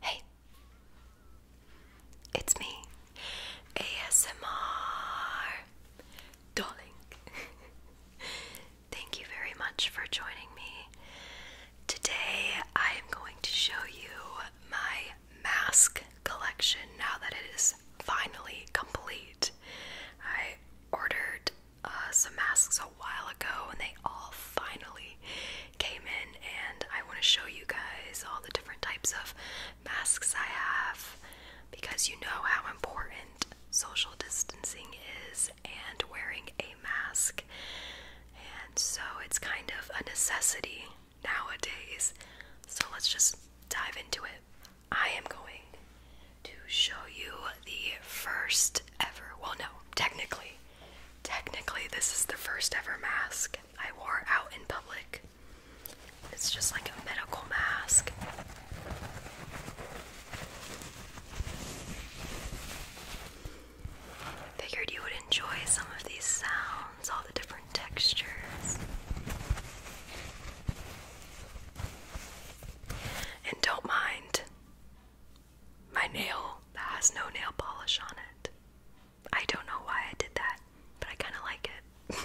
Hey, it's me, ASMR Darling. Thank you very much for joining me. Today, I am going to show you my mask collection now that it is finally complete. I ordered uh, some masks a while ago, and they all finally came in. And I want to show you guys all the different types of masks I have because you know how important social distancing is and wearing a mask. And so it's kind of a necessity nowadays. So let's just dive into it. I am going to show you the first ever. Well, no, technically, technically, this is the first ever mask I wore out in public. It's just like a medical mask. figured you would enjoy some of these sounds, all the different textures. And don't mind my nail that has no nail polish on it. I don't know why I did that, but I kind of like it.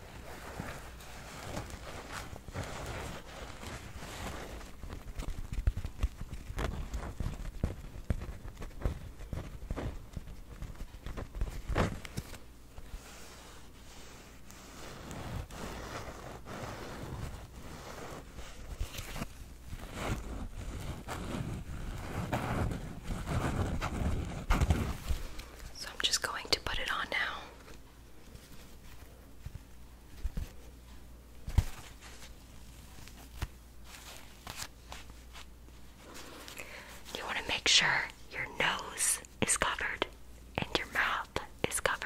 So I'm just going to put it on now. You want to make sure your nose is covered and your mouth is covered.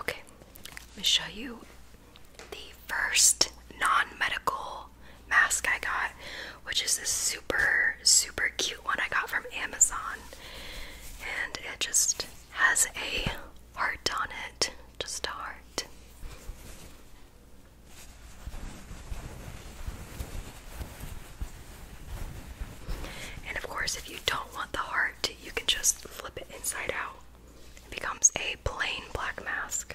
okay, I'm show you the first non medical mask I got, which is this super, super cute one I got from Amazon. And it just has a heart on it, just a heart. And of course, if you don't want the heart, you can just flip it inside out. It becomes a plain black mask.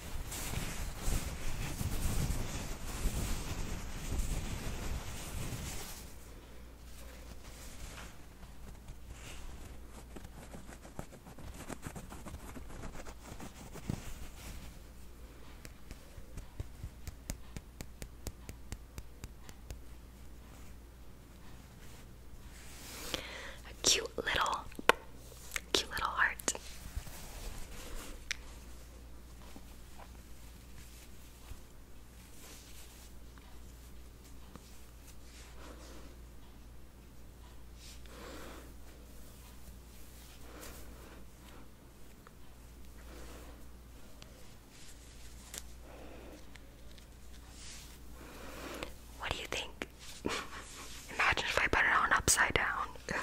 A cute little, cute little heart. What do you think? Imagine if I put it on upside down.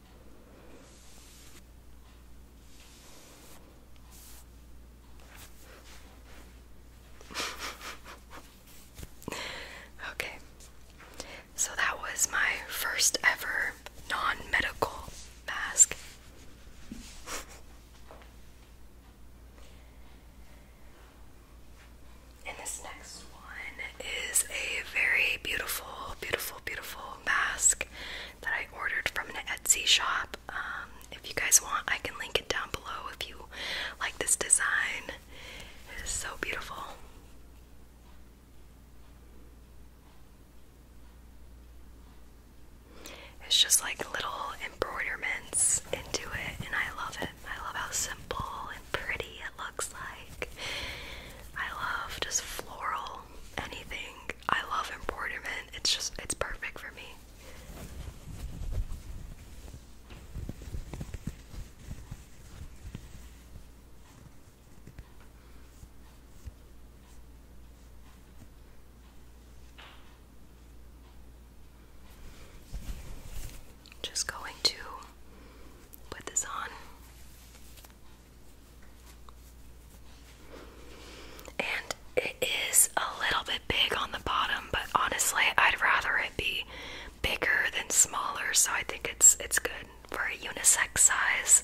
okay, so that was my first ever non medical mask. and this next one is a very beautiful, beautiful, beautiful mask that I ordered from an Etsy shop. Um, if you guys want, I can link it down below if you like this design. It is so beautiful. It's just like little embroiderments into it, and I love it. I love how simple and pretty it looks like. I love just floral anything. I love embroiderment. It's just it's perfect for me. Just going to put this on. And it is a little bit big on the bottom, but honestly, I'd rather it be bigger than smaller, so I think it's it's good for a unisex size.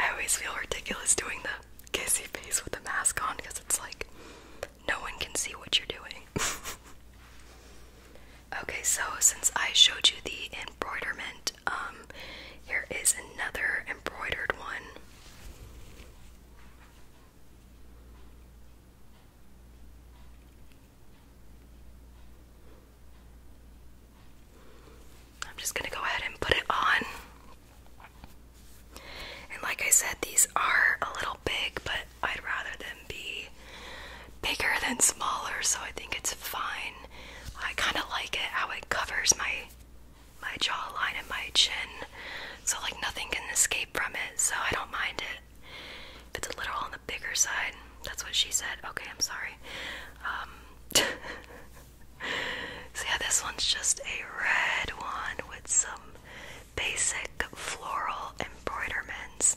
I always feel ridiculous doing the kissy face with the mask on because it's like no one can see what you're doing. Okay, so since I showed you the embroiderment, um, here is another embroidered one. I'm just going to go ahead and put it on. And like I said, these are a little big, but I'd rather them be bigger than smaller, so I think it's fine. I kind of like it how it covers my my jawline and my chin, so like nothing can escape from it. So I don't mind it. it's a little on the bigger side, that's what she said. Okay, I'm sorry. Um, so yeah, this one's just a red one with some basic floral embroiderments.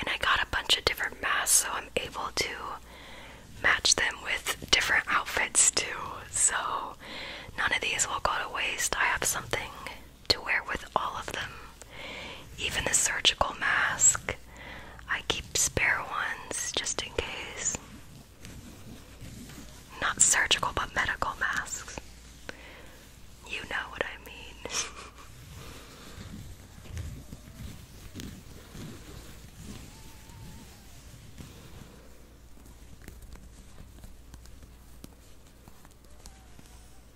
And I got a bunch of different masks, so I'm able to match them with different outfits too. So none of these will go to waste. I have something to wear with all of them, even the surgical mask. I keep spare ones just in case. Not surgical, but medical masks. You know what I mean.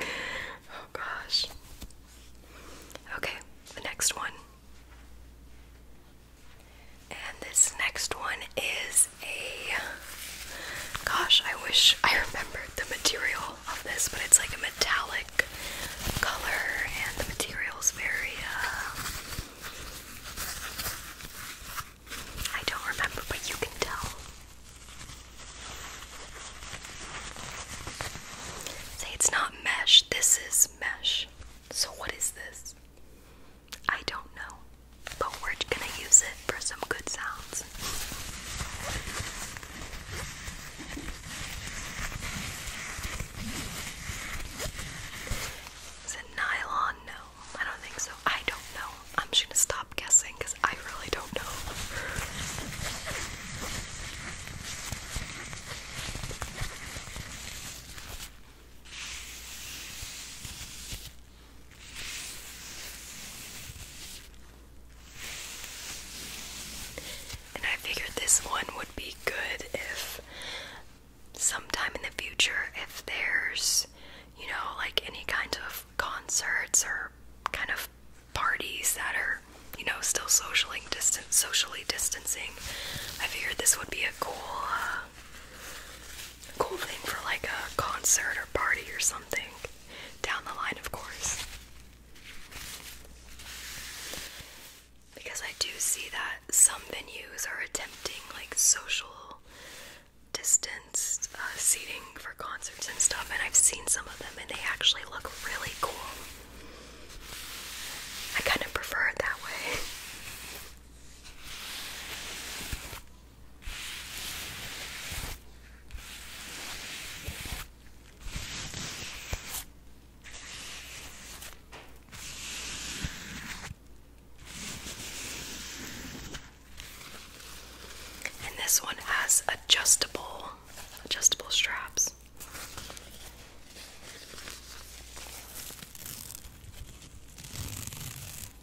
oh gosh. Okay, the next one. And this next one is a gosh, I wish I remembered the material of this, but it's like a metallic color and the material is very uh I don't remember, but you can tell. Say it's not mesh. This is mesh. So what is this? I don't know, but we're gonna use it for some good sounds. Is it nylon? No, I don't think so. I don't know. I'm just gonna stop guessing because I really don't know. And I figured this one would be good if sometime in the future, if there's, you know, like any kind of concerts or kind of parties that are, you know, still socially distant, socially distancing, I figured this would be a cool uh, cool thing for like a concert or party or something down the line, of course. Because I do see that some venues are attempting like social distance uh, seating for concerts and stuff, and I've seen some of them and they actually look really cool. I kind of prefer it that way. And this one has adjustable adjustable straps.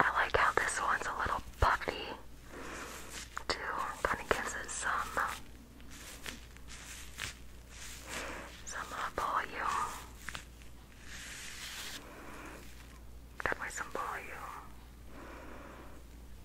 I like how this one's a little puffy, too. Kind of gives it some some uh, volume. Definitely some volume.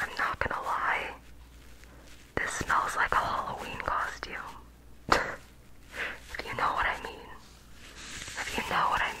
I'm not gonna lie, this smells like a Halloween costume. if you know what I mean. If you know what I mean.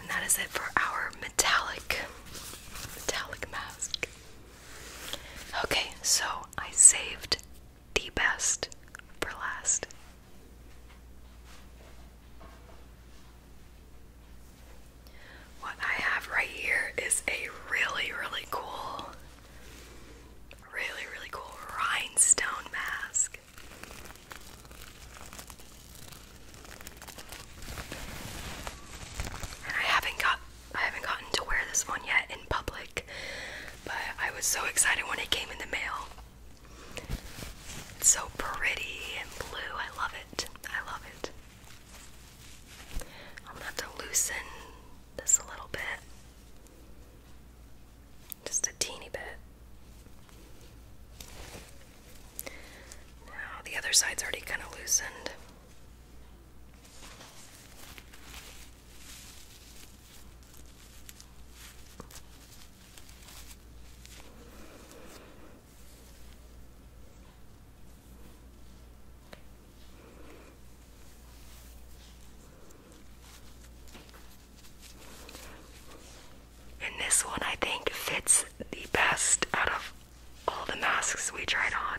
And that is it for our metallic metallic mask. Okay, so I saved the best for last. What I have right here is a really, really cool, really, really cool rhinestone mask. I haven't got I haven't gotten to wear this one yet in public, but I was so excited when it came in the mail. It's so pretty and blue. I love it. I love it. I'm gonna have to loosen this a little bit. Just a teeny bit. Now the other side's already kind of loosened. And this one I think fits the best out of all the masks we tried on.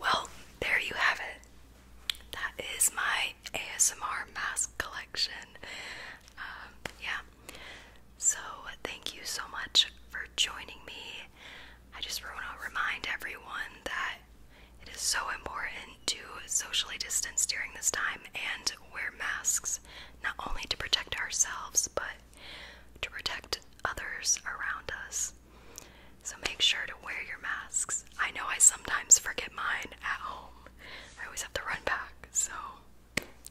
well, there you have it that is my ASMR mask collection. Um, yeah. So, thank you so much for joining me. I just want to remind everyone that it is so important to socially distance during this time and wear masks, not only to protect ourselves, but to protect others around us. So make sure to wear your masks. I know I sometimes forget mine at home. I always have to run back, so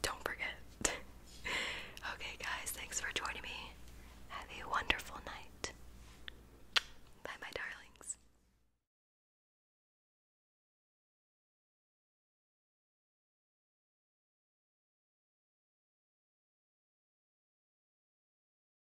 don't forget. okay, guys, thanks for joining me. Have a wonderful night. Bye, my darlings.